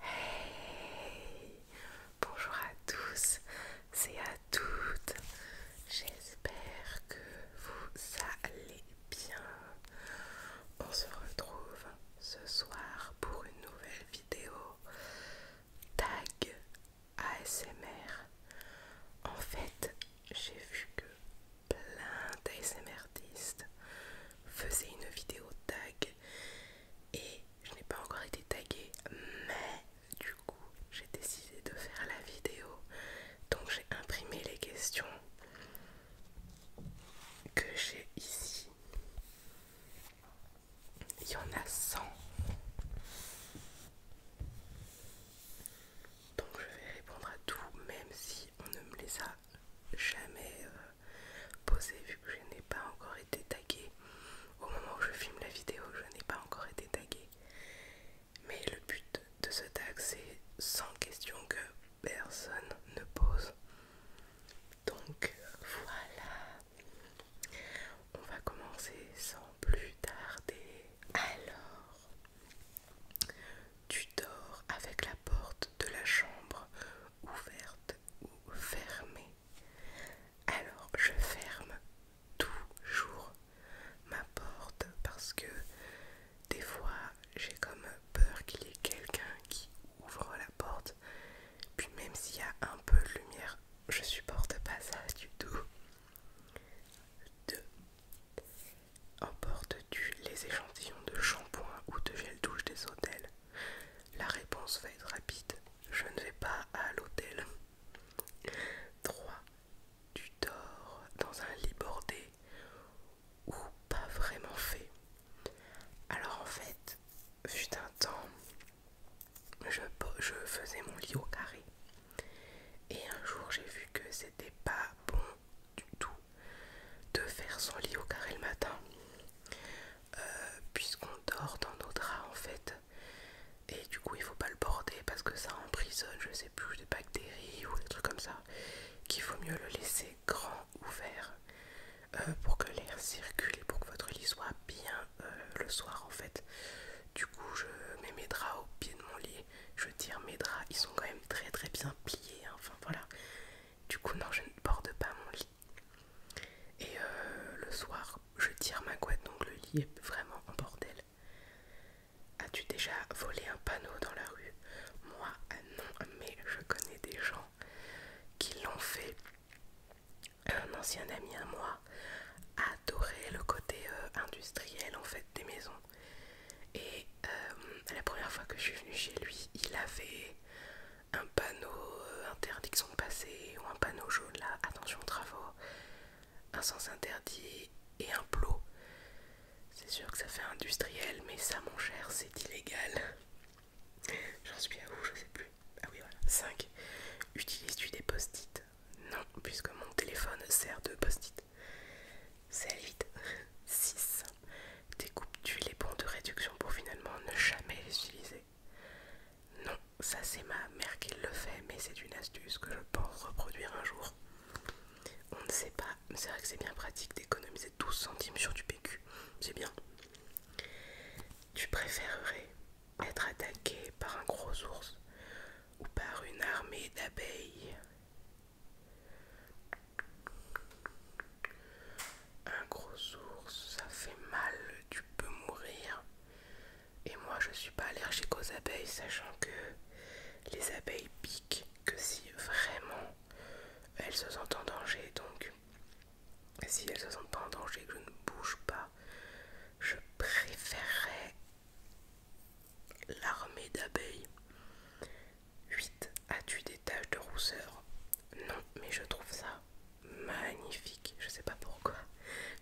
Hey Bonjour à tous et à toutes. J'espère que vous allez bien. On se retrouve ce soir pour une nouvelle vidéo tag ASMR. En fait, j'ai vu que plein d'ASMRtistes faisaient une vidéo tag et je n'ai pas encore été taguée mais du coup j'ai décidé de faire la vidéo donc j'ai imprimé les questions que j'ai ici il y en a 100 donc je vais répondre à tout même si on ne me les a jamais euh, posé vu que je n'ai pas encore été taguée. Au moment où je filme la vidéo, je n'ai pas encore été taguée. Mais le but de ce tag, c'est sans question que personne ne pose. Donc voilà. On va commencer sans plus tarder. Alors, tu dors avec la porte de la chambre ouverte ou fermée. Alors je ferme toujours ma porte parce que des fois j'ai comme peur qu'il y ait quelqu'un qui ouvre la porte. Puis même s'il y a un peu de lumière, je supporte pas ça du tout. 2. Emportes-tu les échantillons de shampoing ou de gel douche des hôtels la réponse va être rapide. Je ne vais pas à l'hôtel. 3. Tu dors dans un lit bordé ou pas vraiment fait. Alors en fait, fut un temps, je, je faisais mon lit au carré. Et un jour, j'ai vu que c'était pas bon du tout de faire son lit au carré le matin. Euh, puisqu'on dort dans nos draps en fait et du coup il faut pas le border parce que ça emprisonne je sais plus des bactéries ou des trucs comme ça qu'il faut mieux le laisser grand ouvert euh, pour que l'air circule et pour que votre lit soit bien euh, le soir en fait du coup je mets mes draps au pied de mon lit je tire mes draps ils sont quand même très très bien pliés hein. enfin voilà du coup non je ne borde pas mon lit et euh, le soir, je tire ma couette, donc le lit est vraiment en bordel. As-tu déjà volé un panneau dans la rue Moi, ah non, mais je connais des gens qui l'ont fait. Un ancien ami à moi adorait le côté euh, industriel en fait des maisons. Et euh, la première fois que je suis venue chez lui, il avait un panneau euh, interdiction de passer ou un panneau jaune là, attention aux travaux, un sens interdit et un plot. C'est sûr que ça fait industriel, mais ça, mon cher, c'est illégal. J'en suis à où Je sais plus. Ah oui, voilà. 5. Utilises-tu des post-it Non, puisque mon téléphone sert de post-it. C'est à 6. Découpe tu les bons de réduction pour finalement ne jamais les utiliser. Non, ça c'est ma mère qui le fait, mais c'est une astuce que je pense reproduire un jour. On ne sait pas, mais c'est vrai que c'est bien pratique d'économiser 12 centimes sur du PQ. C'est bien. Tu préférerais être attaqué par un gros ours ou par une armée d'abeilles un gros ours, ça fait mal, tu peux mourir. Et moi, je suis pas allergique aux abeilles, sachant que les abeilles piquent que si vraiment elles se sentent en danger. Donc, si elles se sentent pas en danger, je ne bouge pas, je préférerais l'armée d'abeilles 8. As-tu des taches de rousseur Non, mais je trouve ça magnifique. Je sais pas pourquoi.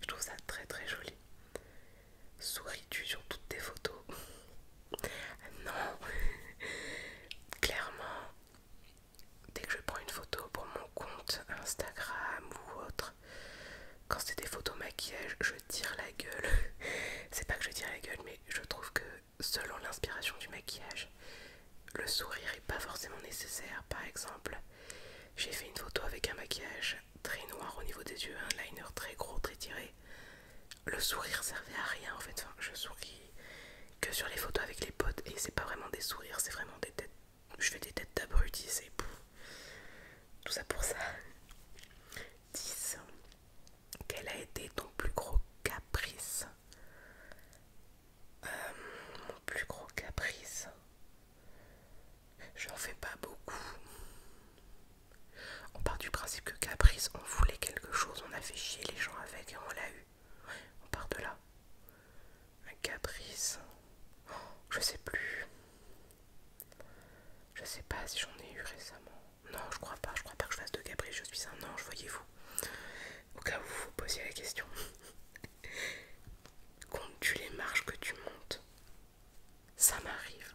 Je trouve ça très très joli. Souris-tu sur toutes tes photos Non Clairement, dès que je prends une photo pour mon compte Instagram ou autre, quand c'est des photos maquillage, je tire la gueule. c'est pas que je tire la gueule, mais je trouve que selon l'inspiration du maquillage. Le sourire est pas forcément nécessaire. Par exemple, j'ai fait une photo avec un maquillage très noir au niveau des yeux, un liner très gros, très tiré. Le sourire servait à rien en fait. je souris que sur les photos avec les potes et c'est pas vraiment des sourires, c'est vraiment des têtes. Je fais des têtes d'abrutis, c'est tout ça pour ça. 10. Quel a été ton plus gros caprice euh, mon plus gros caprice. J'en fais pas beaucoup. On part du principe que caprice, on voulait quelque chose, on a fait chier les gens avec et on l'a eu. on part de là. Un caprice. Oh, je sais plus. Je sais pas si j'en ai eu récemment. Non, je crois pas. Je crois pas que je fasse de caprice. Je suis un ange, voyez-vous au cas où vous vous posiez la question. Comptes-tu les marches que tu montes Ça m'arrive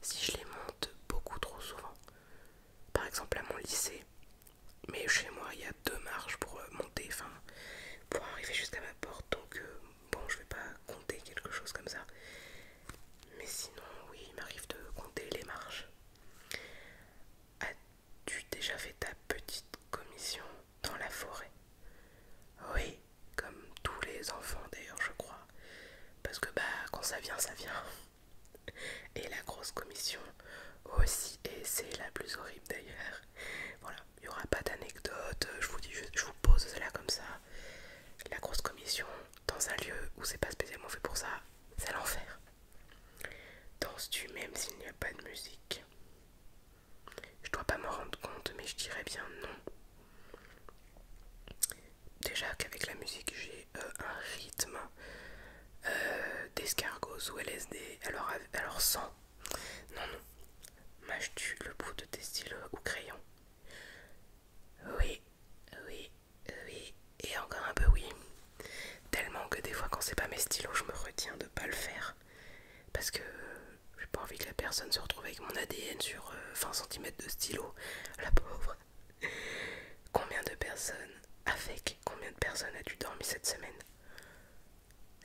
si je les monte beaucoup trop souvent. Par exemple à mon lycée, mais chez moi il y a deux marches pour euh, monter, enfin pour arriver jusqu'à ma porte, donc euh, bon je vais pas compter quelque chose comme ça. Mais sinon oui il m'arrive de compter les marches. Tu déjà fait ta petite commission dans la forêt Oui, comme tous les enfants d'ailleurs, je crois. Parce que bah, quand ça vient, ça vient. Et la grosse commission aussi, et c'est la plus horrible d'ailleurs. Voilà, il y aura pas d'anecdote, je vous dis je vous pose cela comme ça. La grosse commission dans un lieu où c'est pas spécialement fait pour ça, c'est l'enfer. Danses-tu même s'il n'y a pas de musique Je dois pas me rendre compte, mais je dirais bien non. Déjà qu'avec la musique, j'ai euh, un rythme euh, D'escargos ou LSD, alors, alors sans. Non, non. Mâches-tu le bout de tes stylos ou crayon Oui, oui, oui, et encore un peu oui. Tellement que des fois quand c'est pas mes stylos, je me retiens de pas le faire. Parce que j'ai pas envie que la personne se retrouve avec mon ADN sur 20 euh, cm de stylo. La pauvre. Combien de personnes avec combien de personnes as-tu dormi cette semaine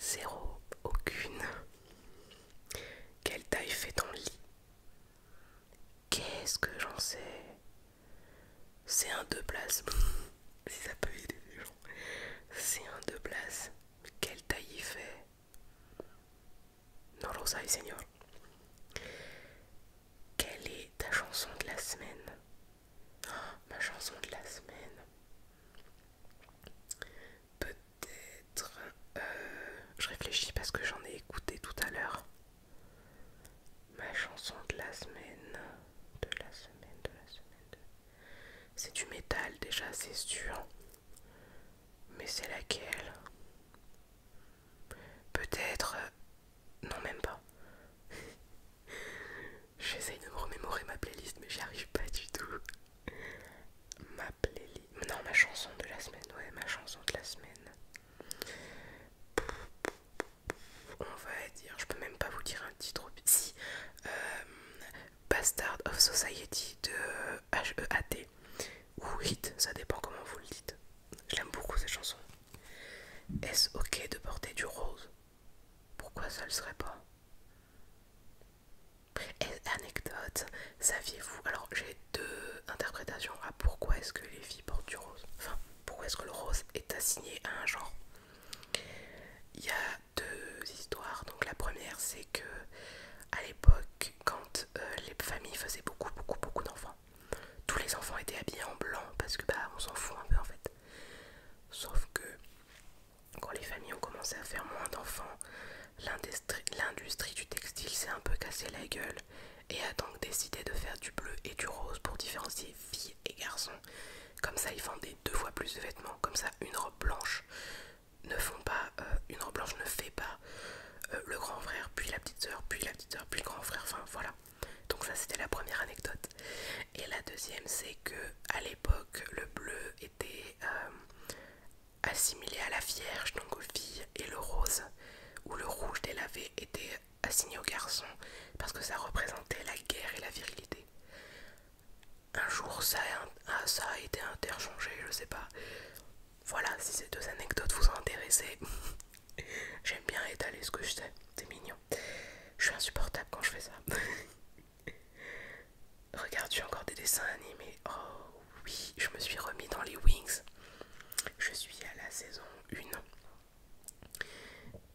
Zéro, aucune. Quelle taille fait ton lit Qu'est-ce que j'en sais c'est un deux places. si ça peut aider les gens. C'est un deux places. Mais quelle taille fait Non, lo seigneur. Quelle est ta chanson de la semaine oh, Ma chanson de la semaine. Peut-être. Euh, je réfléchis parce que j'en ai écouté tout à l'heure. Ma chanson de la semaine, de la semaine, de la semaine, c'est du métal déjà, c'est sûr. Mais c'est laquelle Peut-être... Euh, non, même pas. J'essaye de me remémorer ma playlist, mais j'y arrive pas du tout. Ma playlist... Non, ma chanson de la semaine, ouais, ma chanson de la semaine on va dire, je peux même pas vous dire un titre si euh, Bastard of Society de HEAT ou Hit, ça dépend comment vous le dites. J'aime beaucoup cette chanson. Est-ce ok de porter du rose Pourquoi ça le serait pas anecdote, saviez-vous Alors j'ai deux interprétations à pourquoi est-ce que les filles portent du rose pourquoi est-ce que le rose est assigné à un genre Il y a deux histoires. Donc la première, c'est que à l'époque, quand euh, les familles faisaient beaucoup, beaucoup, beaucoup d'enfants, tous les enfants étaient habillés en blanc parce que bah on s'en fout un peu en fait. Sauf que quand les familles ont commencé à faire moins d'enfants, l'industrie du textile s'est un peu cassé la gueule et a donc décidé de faire du bleu et du rose pour différencier filles et garçons. Comme ça, ils vendaient deux fois plus de vêtements. Comme ça, une robe blanche ne font pas, euh, une robe blanche ne fait pas euh, le grand frère, puis la petite soeur puis la petite sœur, puis le grand frère. Enfin, voilà. Donc ça, c'était la première anecdote. Et la deuxième, c'est que à l'époque, le bleu était euh, assimilé à la vierge, donc aux filles, et le rose ou le rouge délavé était assigné au garçon parce que ça représentait la guerre et la virilité. Un jour, ça a, ah, été interchangé, je sais pas. Voilà, si ces deux anecdotes vous intéressent, j'aime bien étaler ce que je sais, c'est mignon. Je suis insupportable quand je fais ça. Regarde, tu encore des dessins animés Oh oui, je me suis remis dans les Wings. Je suis à la saison 1.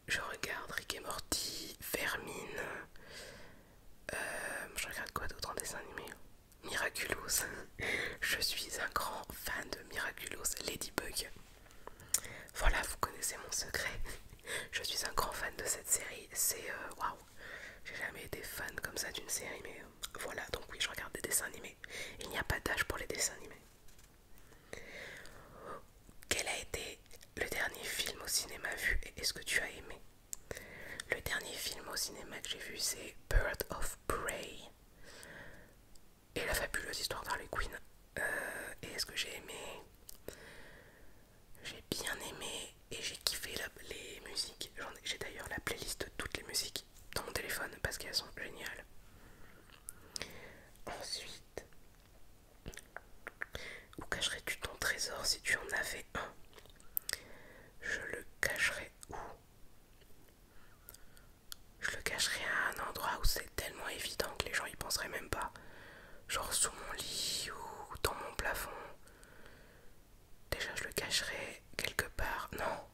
Je regarde Rick et Morty, Vermine. Euh, je regarde quoi d'autre en dessin animé Miraculous. je suis un grand fan de Miraculous Ladybug. Voilà, vous connaissez mon secret. je suis un grand fan de cette série. C'est euh, waouh. J'ai jamais été fan comme ça d'une série, mais euh, voilà. Donc oui, je regarde des dessins animés. Il n'y a pas d'âge pour les dessins animés. Quel a été le dernier film au cinéma vu et est-ce que tu as aimé Le dernier film au cinéma que j'ai vu c'est Bird of Prey et la fabuleuse histoire d'Harley Quinn. Euh, et est-ce que j'ai aimé J'ai bien aimé et j'ai kiffé les musiques. J'ai d'ailleurs la playlist de toutes les musiques dans mon téléphone parce qu'elles sont géniales. Ensuite, où cacherais-tu ton trésor si tu en avais un Je le cacherais où Je le cacherais à un endroit où c'est tellement évident que les gens y penseraient même pas. Genre sous mon lit ou dans mon plafond. Déjà, je le cacherais quelque part. Non,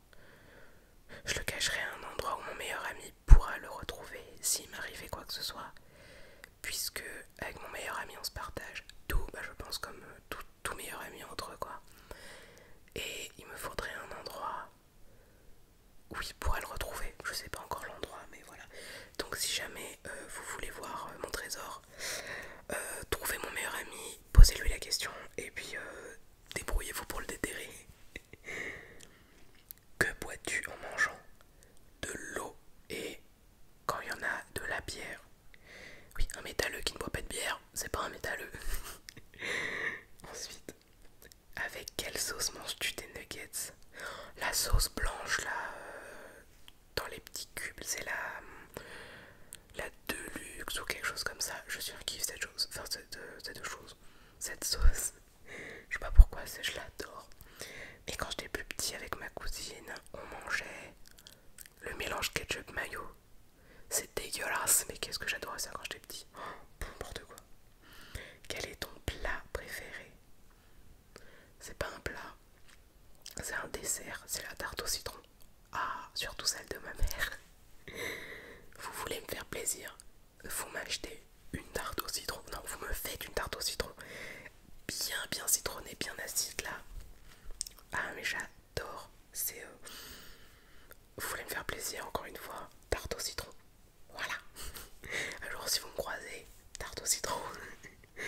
je le cacherai à un endroit où mon meilleur ami pourra le retrouver s'il m'arrivait quoi que ce soit. Puisque avec mon meilleur ami on se partage tout, bah, je pense comme euh, tout, meilleur ami entre eux quoi. Et il me faudrait un endroit où il pourra le retrouver. Je sais pas encore l'endroit mais voilà. Donc si jamais euh, vous voulez voir euh, mon trésor, trouvez mon meilleur ami, posez-lui la question et puis débrouillez-vous pour le déterrer. Que bois-tu en mangeant De l'eau et quand il y en a de la bière. Oui, un métalleux qui ne boit pas de bière, c'est pas un métalleux. Ensuite, avec quelle sauce manges-tu tes nuggets La sauce blanche là, euh, dans les petits cubes, c'est la, la Deluxe ou quelque chose comme ça. Je suis un cette chose, euh, cette chose, cette sauce je sais pas pourquoi, je l'adore. Et quand j'étais plus petit avec ma cousine, on mangeait le mélange ketchup mayo. C'est dégueulasse, mais qu'est-ce que j'adorais ça quand j'étais petit. Oh, quoi. Quel est ton plat préféré C'est pas un plat, c'est un dessert, c'est la tarte au citron. Ah, surtout celle de ma mère. Vous voulez me faire plaisir vous m'achetez une tarte au citron, non, vous me faites une tarte au citron bien, bien citronnée, bien acide là. Ah, mais j'adore, c'est. Euh, vous voulez me faire plaisir, encore une fois, tarte au citron. Voilà. Alors, si vous me croisez, tarte au citron.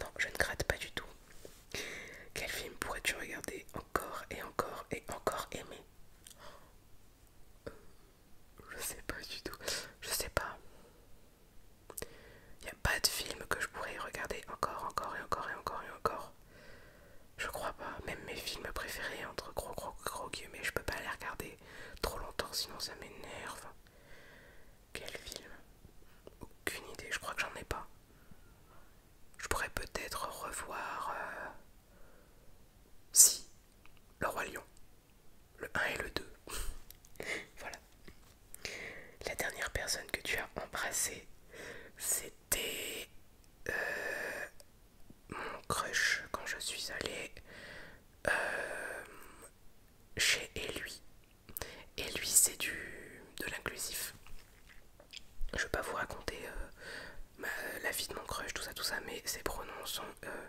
non, je ne gratte pas du tout. Quel film pourrais-tu regarder encore et encore et encore aimer je sais pas du tout. Je sais pas. Il n'y a pas de film que je pourrais regarder encore, encore et encore et encore et encore. Je crois pas. Même mes films préférés, entre gros gros gros guillemets, je peux pas les regarder trop longtemps, sinon ça m'énerve. Quel film Aucune idée, je crois que j'en ai pas. Je pourrais peut-être revoir... Euh, si, le roi lion, le 1 et le 2. voilà. La dernière personne que tu as embrassée, c'était euh, mon crush quand je suis allée euh, chez lui. Et lui, c'est du de l'inclusif. Je vais pas vous raconter euh, bah, la vie de mon crush, tout ça, tout ça, mais ses pronoms sont euh,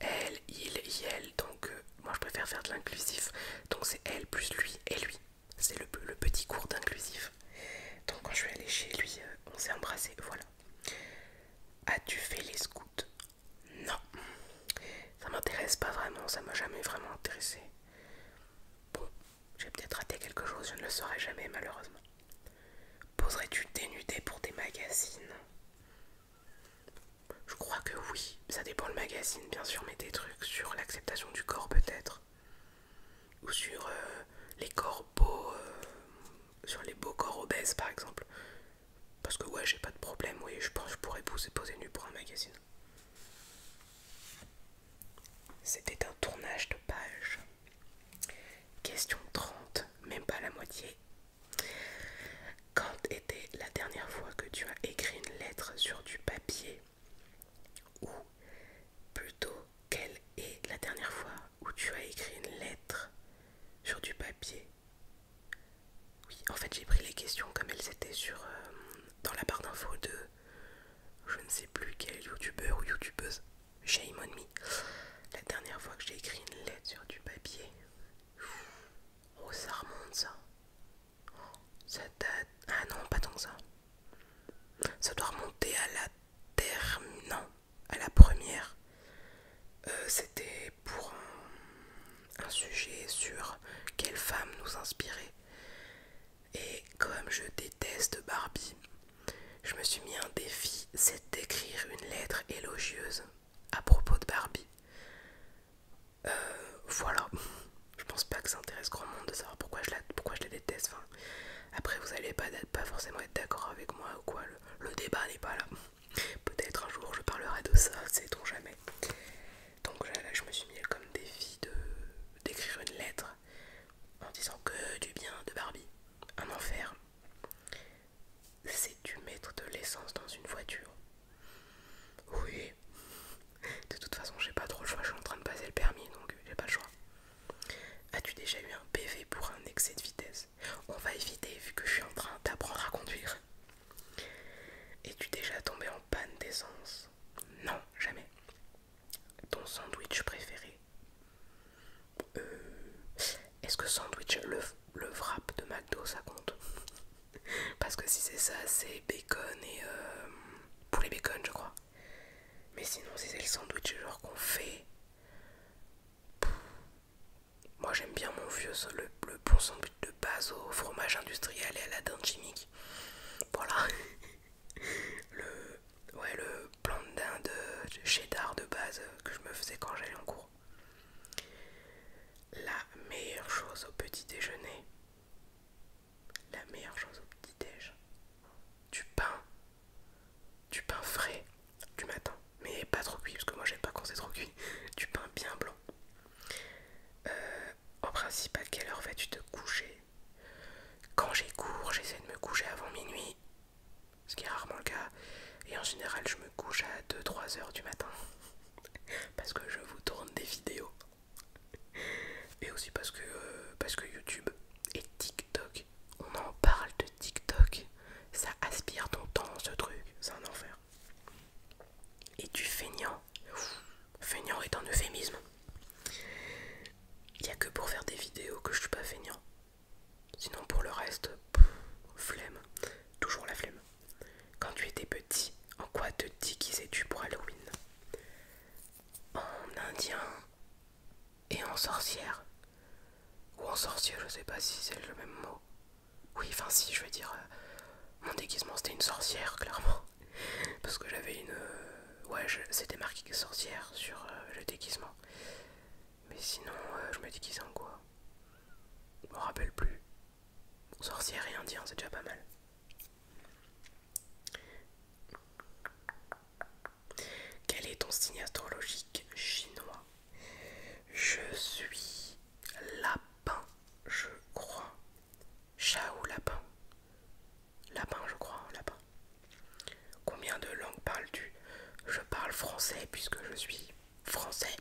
elle, il, il, donc euh, moi je préfère faire de l'inclusif, donc c'est elle plus lui et lui. C'est le, petit cours d'inclusif. Donc quand je vais aller chez lui, euh, on s'est embrassé, voilà. As-tu fait les scouts Non. Ça m'intéresse pas vraiment, ça m'a jamais vraiment intéressé. Bon, j'ai peut-être raté quelque chose, je ne le saurai jamais malheureusement. Poserais-tu dénudé pour des magazines Je crois que oui, ça dépend le magazine bien sûr, mais des trucs sur l'acceptation du corps peut-être. Ou sur euh, les corps beaux, euh, sur les beaux corps obèses par exemple. Parce que ouais, j'ai pas de problème, oui, je pense que je pourrais poser, poser nu pour un magazine. C'était un tournage de page. Question 30, même pas la moitié. Quand était la dernière fois que tu as écrit une lettre sur du papier Ou plutôt, quelle est la dernière fois où tu as écrit une lettre sur du papier Oui, en fait j'ai pris les questions comme elles étaient sur, euh, dans la barre d'infos de je ne sais plus quel youtubeur ou youtubeuse j'ai on me. La dernière fois que j'ai écrit une lettre sur du papier. Oh, ça remonte ça. Ah non, pas tant que ça. Ça doit remonter à la à la première. Euh, c'était pour un, un sujet sur quelle femme nous inspirait. Et comme je déteste Barbie, je me suis mis un défi, c'est d'écrire une lettre élogieuse à propos de Barbie. Euh, voilà, je pense pas que ça intéresse grand monde de savoir pourquoi je la, pourquoi je la déteste. après, vous allez pas, pas forcément être d'accord avec moi ou quoi, le, débat n'est pas là. Peut-être un jour je parlerai de ça, sait-on jamais. Donc là, là, je me suis mis comme défi d'écrire une lettre en disant que du bien de Barbie un enfer. c'est tu mettre de l'essence dans une voiture Oui. De toute façon, j'ai pas trop le choix, je suis en train de passer le permis, donc j'ai pas le choix. As-tu déjà eu un PV pour un excès de vitesse On va éviter vu que je suis en train d'apprendre à conduire. Es-tu déjà tombé en panne d'essence Non, jamais. Ton sandwich préféré euh, Est-ce que sandwich, le, le wrap de McDo, ça compte Parce que si c'est ça, c'est bacon et euh, poulet bacon, je crois. Mais sinon, si c'est le sandwich genre qu'on fait... moi j'aime bien mon vieux, le, le bon sandwich de base au fromage industriel et à la dinde chimique. Voilà. le, Ouais, le plan de dinde euh, cheddar de base euh, que je me faisais quand j'allais en cours. La meilleure chose au petit déjeuner. La meilleure chose au petit déj. Du pain. Du pain frais du matin. Mais pas trop cuit, parce que moi j'aime pas quand c'est trop cuit. Du pain bien blanc. Euh, en principe, à quelle heure vas-tu te coucher Quand j'ai cours, j'essaie de me coucher avant minuit. Ce qui est rarement le cas. Et en général, je me couche à 2-3 heures du matin. parce que je vous tourne des vidéos. Et aussi parce que, euh, parce que YouTube et TikTok, on en parle de TikTok. Ça aspire ton temps, ce truc. C'est un enfer. Et du feignant. feignant est un euphémisme. Il n'y a que pour faire des vidéos que je suis pas feignant. Sinon pour le reste, flemme, toujours la flemme. Quand tu étais petit, en quoi te déguisais-tu pour Halloween En indien et en sorcière. Ou en sorcier, je sais pas si c'est le même mot. Oui, enfin si, je veux dire, euh, mon déguisement c'était une sorcière, clairement. Parce que j'avais une... Euh, ouais, c'était marqué sorcière sur euh, le déguisement. Mais sinon, euh, je me dis qu'ils sont quoi Je me rappelle plus. sorcier et dire hein, c'est déjà pas mal. Quel est ton signe astrologique chinois Je suis lapin, je crois. Chat lapin Lapin, je crois, hein, lapin. Combien de langues parles-tu Je parle français puisque je suis français.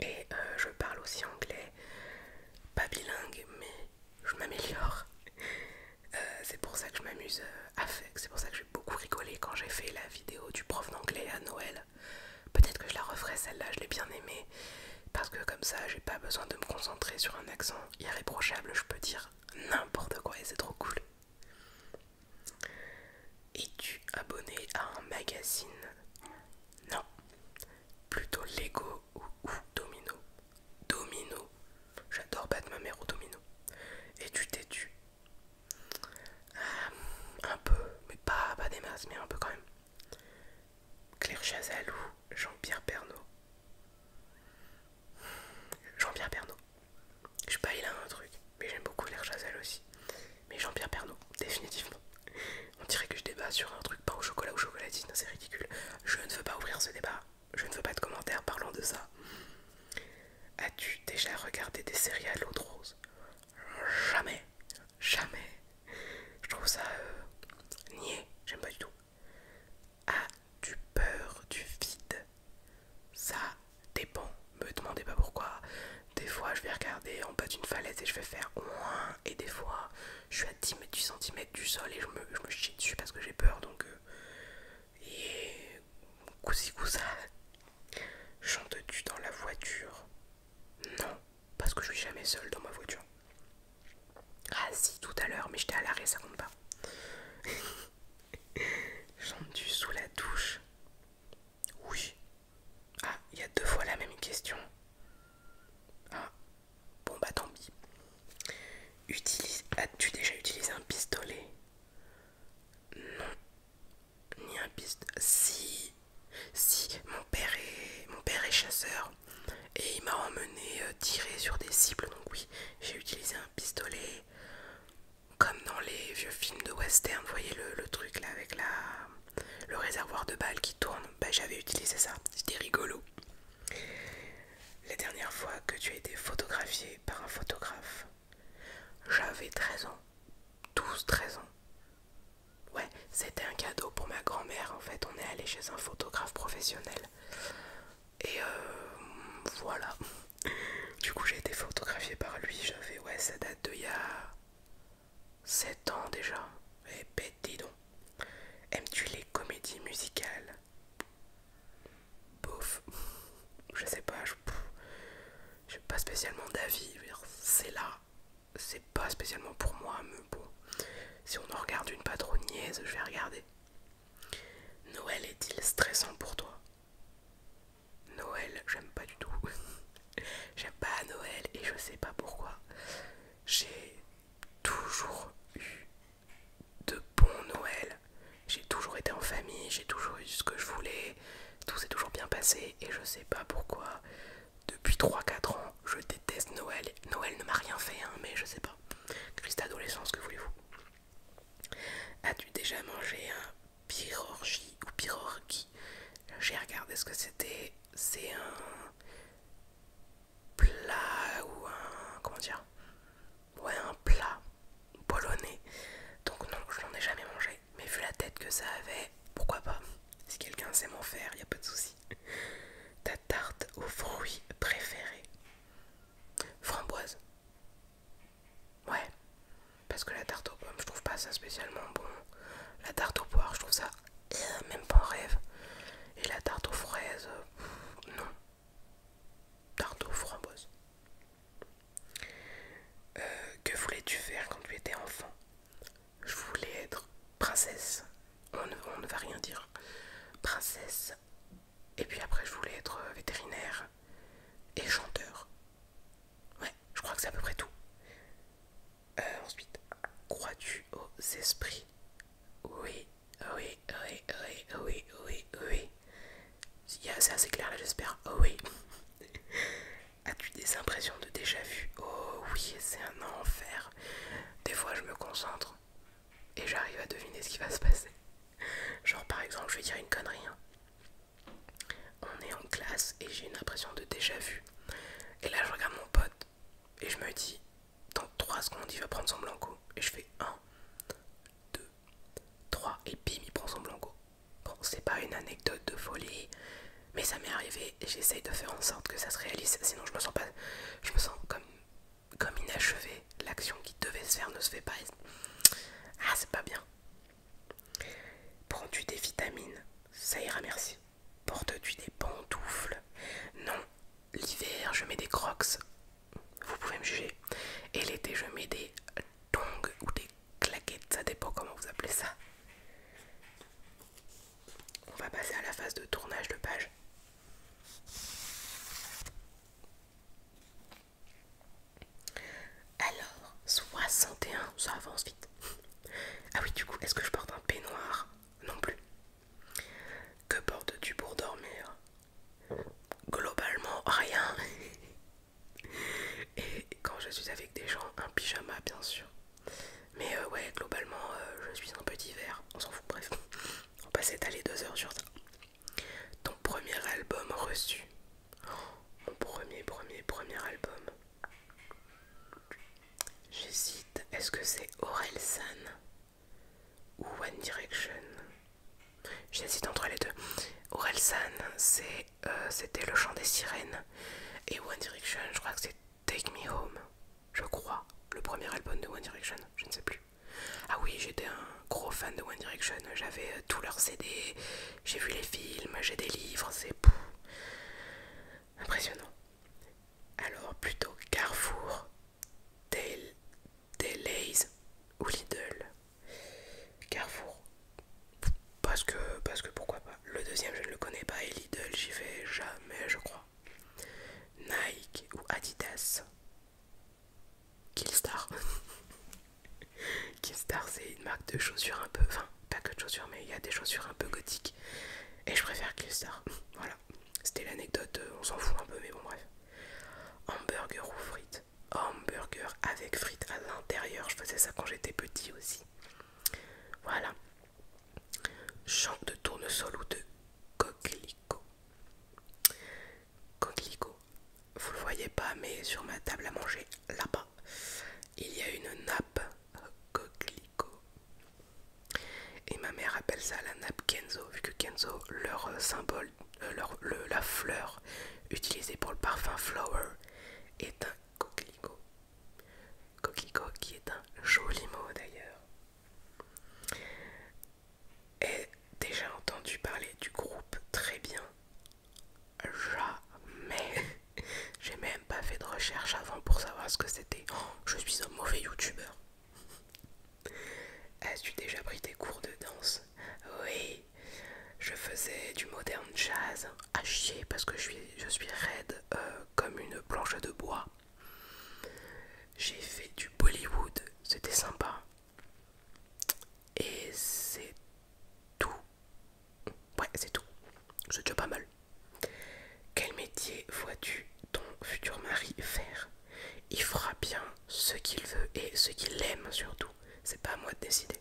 Et euh, je parle aussi anglais. Pas bilingue, mais je m'améliore. Euh, c'est pour ça que je m'amuse euh, à faire. C'est pour ça que j'ai beaucoup rigolé quand j'ai fait la vidéo du prof d'anglais à Noël. Peut-être que je la referai celle-là, je l'ai bien aimée. Parce que comme ça, j'ai pas besoin de me concentrer sur un accent irréprochable, je peux dire n'importe quoi et c'est trop cool. Es-tu abonné à un magazine Non. Plutôt Lego ou, Domino Domino. J'adore battre ma mère au Domino. Et tu t'es tu. Ah, un peu, mais pas, pas des masses, mais un peu quand même. Claire Chazal ou Jean-Pierre Pernaud Jean-Pierre Pernaud. Je suis pas à un truc, mais j'aime beaucoup l'air Chazelle aussi. Mais Jean-Pierre Pernaud, définitivement. On dirait que je débat sur un truc pas au chocolat ou chocolatine, c'est ridicule. Je ne veux pas ouvrir ce débat. Je ne veux pas de commentaires parlant de ça. As-tu déjà regardé des séries à rose Jamais. Jamais. Je trouve ça euh, niais. J'aime pas du tout. As-tu peur du vide Ça dépend. Me demandez pas pourquoi. Des fois, je vais regarder en bas d'une falaise et je vais faire moins, Et des fois, je suis à 10 mètres, cm du sol et je me, chie dessus parce que j'ai peur. Donc, euh, et cousi cousa. chante tu dans la voiture Non, parce que je suis jamais seule dans ma voiture. Ah si, tout à l'heure, mais j'étais à l'arrêt, ça compte pas ai tu sous la douche Oui. Ah, il y a deux fois la même question. Ah, bon bah tant pis. As-tu déjà utilisé un pistolet Non. Ni un pistolet. Si. Si, mon père mon père est chasseur et il m'a emmené euh, tirer sur des cibles, donc oui, j'ai utilisé un pistolet comme dans les vieux films de western, vous voyez le, truc là avec la, le réservoir de balles qui tourne. Bah, j'avais utilisé ça, c'était rigolo. La dernière fois que tu as été photographié par un photographe, j'avais 13 ans, 12-13 ans. Ouais, c'était un cadeau pour ma grand-mère en fait. On est allé chez un photographe professionnel. Et euh, voilà. Du coup, j'ai été photographié par lui. J'avais, ouais, ça date de y a 7 ans déjà. Et eh pète, ben, dis donc. Aimes-tu les comédies musicales Bof. Je sais pas, je. J'ai pas spécialement d'avis. C'est là. C'est pas spécialement pour moi, mais bon. Si on en regarde une patronnieuse, je vais regarder. Noël est-il stressant pour toi Noël, j'aime pas du tout. j'aime pas Noël et je sais pas pourquoi. J'ai toujours eu de bons Noël. J'ai toujours été en famille, j'ai toujours eu ce que je voulais. Tout s'est toujours bien passé et je sais pas pourquoi. Depuis 3-4 ans, je déteste Noël. Noël ne m'a rien fait, hein, mais je sais pas. Crise d'adolescence, que voulez-vous As-tu déjà mangé un pirorgi ou pirorgi J'ai regardé ce que c'était. C'est un plat ou un. Comment dire Ouais, un plat polonais. Donc, non, je n'en ai jamais mangé. Mais vu la tête que ça avait, pourquoi pas Si quelqu'un sait m'en faire, il n'y a pas de souci. Ta tarte aux fruits préférée Framboise. Ouais, parce que la tarte aux pommes, je trouve pas ça spécialement bon. La tarte aux poires, je trouve ça euh, même pas un rêve. Et la tarte aux fraises, euh, non. Tarte aux framboises. Euh, que voulais-tu faire quand tu étais enfant Je voulais être princesse. on ne va rien dire. Princesse et puis après, je voulais être euh, vétérinaire et chanteur. Ouais, je crois que c'est à peu près tout. Euh, ensuite, crois-tu aux esprits Oui, oui, oui, oui, oui, oui, oui. C'est assez clair là, j'espère. Oh, oui. As-tu des impressions de déjà vu Oh oui, c'est un enfer. Des fois, je me concentre et j'arrive à deviner ce qui va se passer. Genre par exemple, je vais dire une connerie. Hein. On est en classe et j'ai une impression de déjà vu. Et là je regarde mon pote et je me dis, dans 3 secondes il va prendre son blanco. Et je fais 1, 2, 3 et bim il prend son blanco. Bon c'est pas une anecdote de folie, mais ça m'est arrivé et j'essaye de faire en sorte que ça se réalise, sinon je me sens pas. Je me sens comme comme inachevé, l'action qui devait se faire ne se fait pas. Ah, c'est pas bien. Prends-tu des vitamines Ça ira, merci. porte- tu des pantoufles Non. L'hiver, je mets des crocs. Vous pouvez me juger. Et l'été, je mets des tongs ou des claquettes. Ça dépend comment vous appelez ça. On va passer à la phase de tournage de page. Alors, 61, ça avance vite. ah oui, du coup, est-ce que je porte un peignoir Non plus. Que portes-tu pour dormir Globalement, rien. Et quand je suis avec des gens, un pyjama, bien sûr. Mais euh, ouais, globalement, euh, je suis un peu divers, On s'en fout, bref. On va s'étaler deux heures sur ça. Ton premier album reçu. mon premier, premier, premier album. J'hésite. Est-ce que c'est Aurel ou One Direction J'hésite entre les deux. Aurel San, euh, c'était Le Chant des Sirènes. Et One Direction, je crois que c'est Take Me Home. Je crois. Le premier album de One Direction. Je ne sais plus. Ah oui, j'étais un gros fan de One Direction, j'avais euh, tous leurs CD, j'ai vu les films, j'ai des livres, c'est impressionnant. Alors plutôt Carrefour, Taylor, Delays ou Lidl. Carrefour. Parce que, parce que pourquoi pas. Le deuxième, je ne le connais pas et Lidl, j'y vais jamais, je crois. Nike ou Adidas. Killstar. Killstar, c'est une marque de chaussures un peu. Enfin, pas que de chaussures, mais il y a des chaussures un peu gothiques. Et je préfère Killstar. Voilà. C'était l'anecdote, euh, on s'en fout un peu, mais bon, bref. Hamburger ou frites Hamburger avec frites à l'intérieur. Je faisais ça quand j'étais petit aussi. Voilà. Champ de tournesol ou de coquelicot Coquelicot, vous le voyez pas, mais sur ma table à manger, là-bas, il y a une nappe coquelicot. Et ma mère appelle ça la nappe Kenzo, vu que Kenzo, leur symbole, euh, la fleur utilisée pour le parfum Flower, est un coquelicot. Coquelicot qui est un joli mot d'ailleurs. « J'ai déjà entendu parler du groupe très bien Jamais J'ai même pas fait de recherche avant pour savoir ce que c'était. Oh, je suis un mauvais youtubeur. As-tu déjà pris des cours de danse Oui, je faisais du modern jazz à chier parce que je suis, raide euh, comme une planche de bois. J'ai fait du Bollywood, c'était sympa. Et c'est tout. Ouais, c'est tout. C'est déjà pas mal. Quel métier vois-tu ton futur mari faire Il fera bien ce qu'il veut et ce qu'il aime surtout. C'est pas à moi de décider.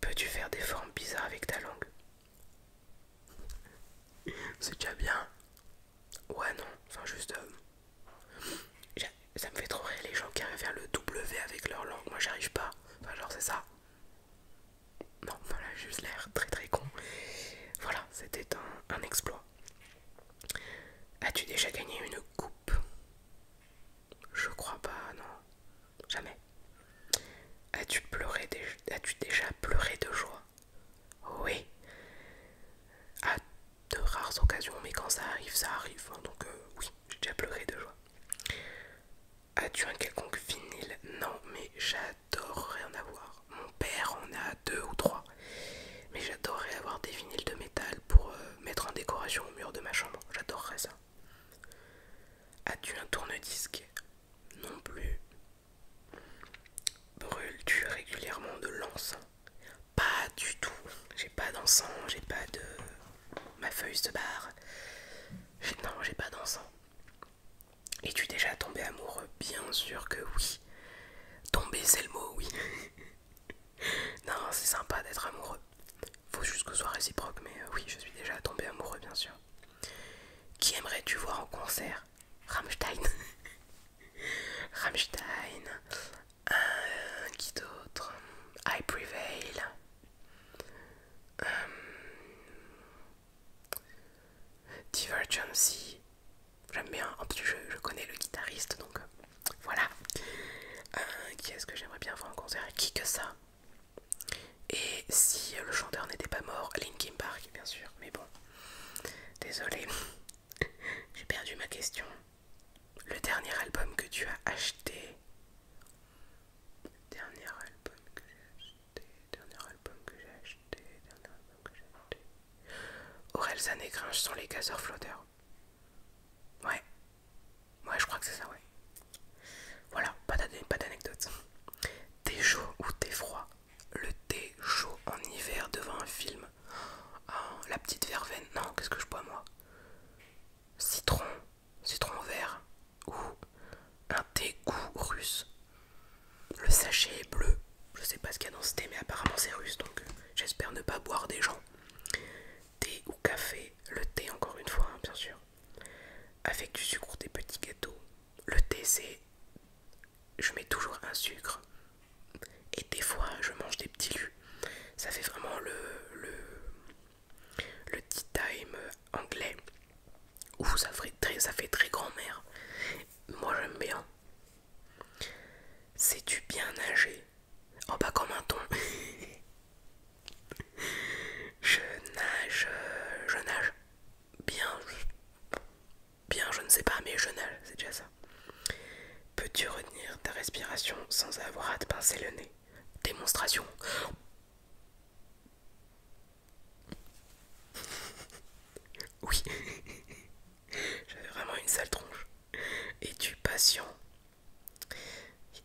Peux-tu faire des formes bizarres avec ta langue C'est déjà bien. Ouais, non, enfin juste. Euh, ça me fait trop rire les gens qui arrivent à faire le W avec leur langue. Moi, j'arrive pas. Enfin, genre, c'est ça. Non, voilà, juste l'air très très con. Voilà, c'était un, exploit. As-tu déjà gagné une coupe Je crois pas, non. Jamais. As-tu pleuré As-tu déjà pleuré de joie oui. À de rares occasions, mais quand ça arrive, ça arrive. Hein, donc euh, oui, j'ai déjà pleuré de joie. As-tu un quelconque vinyle Non, mais j'adorerais en avoir. Mon père en a deux ou trois. Mais j'adorerais avoir des vinyles de métal pour euh, mettre en décoration au mur de ma chambre. J'adorerais ça. As-tu un tourne-disque Non plus. Brûles-tu régulièrement de l'encens Pas du tout. J'ai pas d'encens, j'ai pas de. Ma feuille de barre. Non, j'ai pas d'encens. Es-tu déjà tombé amoureux Bien sûr que oui. Tombé, c'est le mot, oui. non, c'est sympa d'être amoureux. Faut juste que ce soit réciproque, mais euh, oui, je suis déjà tombé amoureux, bien sûr. Qui aimerais-tu voir en concert Rammstein. Rammstein. Euh, qui d'autre I Prevail. Euh, Divergency. J'aime bien. En plus, je, connais le guitariste, donc euh, voilà. qui est-ce que j'aimerais bien voir en concert Qui que ça Et si le chanteur n'était pas mort Linkin Park, bien sûr. Mais bon. Désolé, j'ai perdu ma question. Le dernier album que tu as acheté. Dernier album que j'ai acheté. Dernier album que j'ai acheté. Dernier album que j'ai acheté. Aurel et sur sont les casseurs Flotter. Ouais. Ouais, je crois que c'est ça, ouais. Voilà, pas d'anecdote. T'es chaud ou t'es froid le thé chaud en hiver devant un film. Ah, la petite verveine. Non, qu'est-ce que je bois moi Citron, citron vert ou un thé goût russe. Le sachet est bleu. Je sais pas ce qu'il y a dans ce thé, mais apparemment c'est russe, donc euh, j'espère ne pas boire des gens. Thé ou café, le thé encore une fois, hein, bien sûr. Avec du sucre des petits gâteaux. Le thé c'est je mets toujours un sucre et des fois je mange des petits lus. Ça fait vraiment le, le, le tea time anglais où ça fait très, ça fait très grand-mère. Moi j'aime bien. Sais-tu bien nager. Oh bah comme un ton. je nage, je nage bien bien, je ne sais pas, mais je nage, c'est déjà ça. Peux-tu retenir ta respiration sans avoir à te pincer le nez Démonstration. Oui, j'avais vraiment une sale tronche. Es-tu patient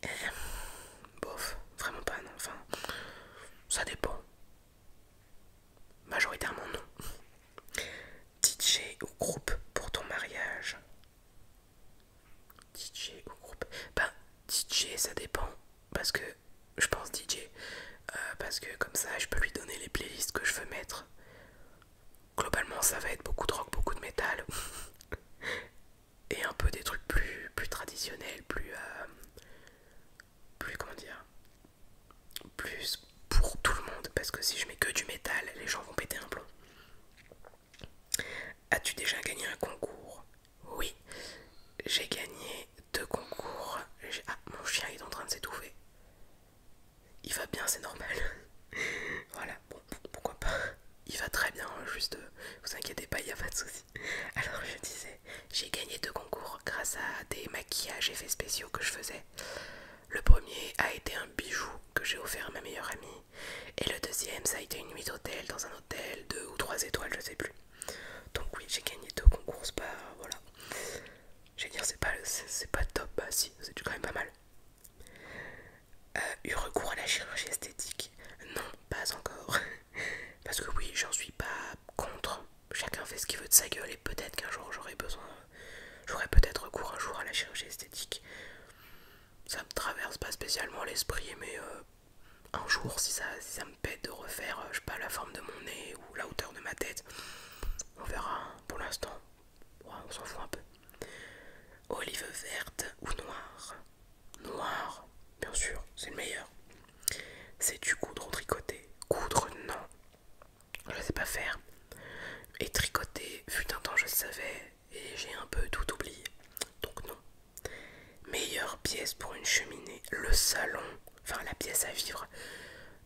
eh, Bof, vraiment pas, non. Enfin, ça dépend. Majoritairement non. DJ ou groupe pour ton mariage DJ ou groupe Ben DJ ça dépend parce que je pense DJ euh, parce que comme ça je peux lui donner les playlists que je veux mettre. Globalement ça va être beaucoup de rock, beaucoup de métal et un peu des trucs plus, traditionnels, plus... Euh, plus comment dire plus pour tout le monde parce que si je mets que du métal, les gens vont péter un plomb. As-tu déjà gagné un concours Oui, j'ai gagné deux concours. Ah, mon chien est en train de s'étouffer. Il va bien, c'est normal. voilà, pourquoi pas. Il va très bien, hein, juste, euh, vous inquiétez pas, il n'y a pas de souci. Alors je disais, j'ai gagné deux concours grâce à des maquillages effets spéciaux que je faisais. Le premier a été un bijou que j'ai offert à ma meilleure amie. Et le deuxième, ça a été une nuit d'hôtel dans un hôtel, deux ou trois étoiles, je sais plus. Donc oui, j'ai gagné deux concours, pas... voilà. Je vais dire, c'est pas, pas top, mais bah si, c'est quand même pas mal. Euh, eu recours à la chirurgie esthétique Non, pas encore. Parce que oui, j'en suis pas contre, chacun fait ce qu'il veut de sa gueule et peut-être qu'un jour j'aurai besoin, j'aurai peut-être recours un jour à la chirurgie esthétique. Ça me traverse pas spécialement l'esprit, mais euh, un jour, si ça, me pète de refaire, euh, je sais pas, la forme de mon nez ou la hauteur de ma tête, on verra. Pour l'instant, on s'en fout un peu. Olive verte ou noire Noire bien sûr, c'est le meilleur. C'est du coudre tricoté. Coudre, non, je sais pas faire. Et tricoter, fut un temps je savais et j'ai un peu tout oublié. Donc non. Meilleure pièce pour une cheminée, le salon, enfin la pièce à vivre.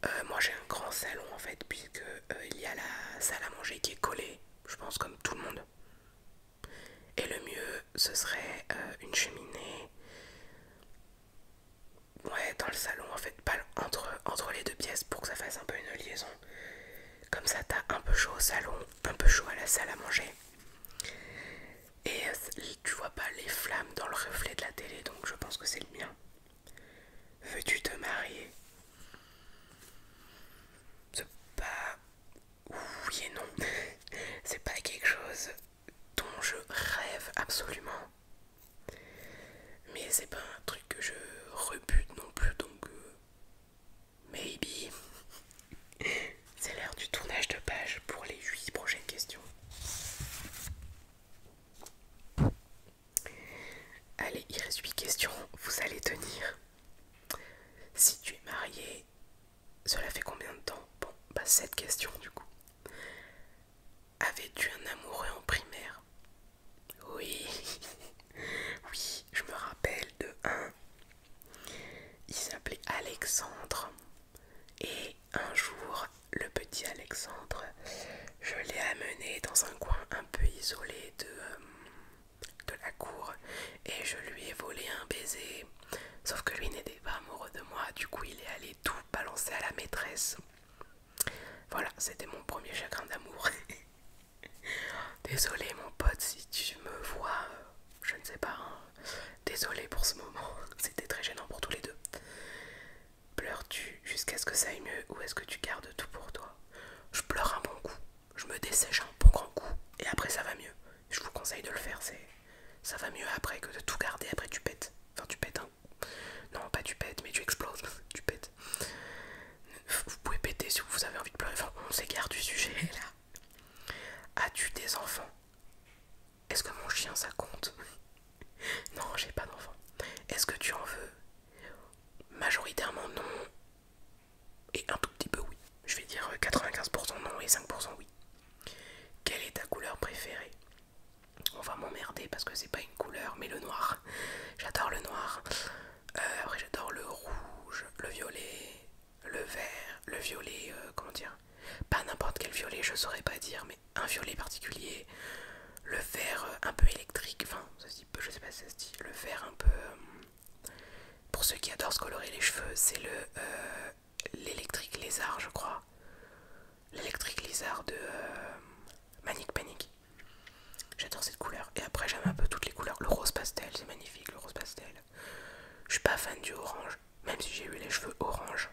Euh, moi j'ai un grand salon en fait puisque euh, il y a la salle à manger qui est collée, je pense comme tout le monde. Et le mieux ce serait euh, une cheminée Ouais, dans le salon en fait, pas entre, entre les deux pièces pour que ça fasse un peu une liaison. Comme ça, t'as un peu chaud au salon, un peu chaud à la salle à manger. Et euh, tu vois pas les flammes dans le reflet de la télé, donc je pense que c'est le mien. Veux-tu te marier C'est pas. Oui et non. c'est pas quelque chose dont je rêve absolument. Mais c'est pas un truc que je rebute non plus, donc euh, maybe. c'est l'heure du tournage de page pour les 8 prochaines questions. Allez, il reste 8 questions, vous allez tenir. Si tu es marié, cela fait combien de temps Bon, bah, pas 7 questions du coup. Avais-tu un amoureux en primaire Oui, oui, je me rappelle de un. Il s'appelait Alexandre. Et un jour, le petit Alexandre, je l'ai amené dans un coin un peu isolé de, euh, de la cour et je lui ai volé un baiser. Sauf que lui n'était pas amoureux de moi, du coup il est allé tout balancer à la maîtresse. Voilà, c'était mon premier chagrin d'amour. Désolé mon pote si tu me vois, je ne sais pas. Hein. Désolé pour ce moment, c'était très gênant pour tous les deux. Pleures-tu jusqu'à ce que ça aille mieux ou est-ce que tu gardes tout pour toi Je pleure un bon coup, je me dessèche un bon grand coup et après ça va mieux. Je vous conseille de le faire, c'est ça va mieux après que de tout garder après tu pètes. Enfin tu pètes non, pas tu pètes, mais tu exploses. tu pètes. Vous pouvez péter si vous avez envie de pleurer. Enfin, on s'écarte du sujet là. As-tu des enfants Est-ce que mon chien ça compte Non, j'ai pas d'enfants. Est-ce que tu en veux Majoritairement non. Et un tout petit peu oui. Je vais dire 95% euh, non et 5% oui. Quelle est ta couleur préférée on va m'emmerder parce que c'est pas une couleur mais le noir j'adore le noir euh, après j'adore le rouge le violet le vert le violet euh, comment dire pas n'importe quel violet je saurais pas dire mais un violet particulier le vert euh, un peu électrique enfin ce se je sais pas si ça se dit le vert un peu pour ceux qui adorent se colorer les cheveux c'est le l'électrique lézard, je crois. L'électrique lézard de euh, Manic Panic. J'adore cette couleur. Et après, j'aime un peu toutes les couleurs. Le rose pastel, c'est magnifique, le rose pastel. Je suis pas fan du orange, même si j'ai eu les cheveux orange.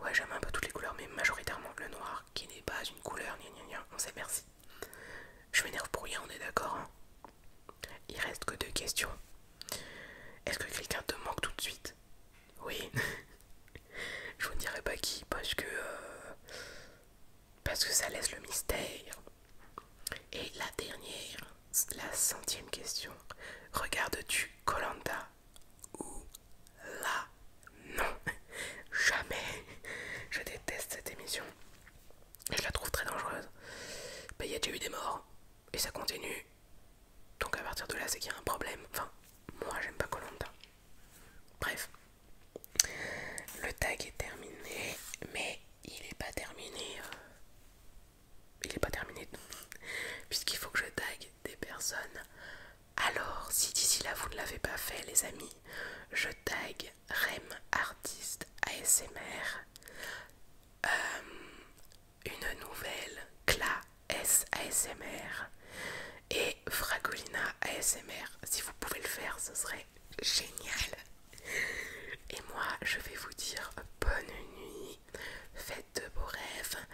Ouais, j'aime un peu toutes les couleurs, mais majoritairement le noir, qui n'est pas une couleur, ni ni on sait merci. Je m'énerve pour rien, on est d'accord. Hein. Il reste que deux questions. Est-ce que quelqu'un te manque tout de suite oui. je vous ne dirai pas qui parce que euh, parce que ça laisse le mystère. Et la dernière, la centième question. regarde tu Colanta ou La Non, jamais. Je déteste cette émission. je la trouve très dangereuse. Il bah, y a déjà eu des morts. Et ça continue. Donc à partir de là, c'est qu'il y a un problème. Enfin, moi j'aime pas Colanta. Bref, le tag est terminé, mais il est pas terminé. Euh, il est pas terminé, puisqu'il faut que je tag des personnes. Alors, si d'ici là vous ne l'avez pas fait, les amis, je tag Rem Artiste ASMR. Euh, une nouvelle CLA S et Fragolina ASMR. Si vous pouvez le faire, ce serait génial. Et moi, je vais vous dire bonne nuit, faites de beaux rêves,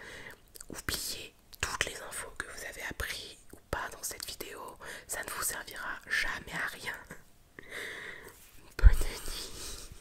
oubliez toutes les infos que vous avez apprises ou pas dans cette vidéo, ça ne vous servira jamais à rien. Bonne nuit.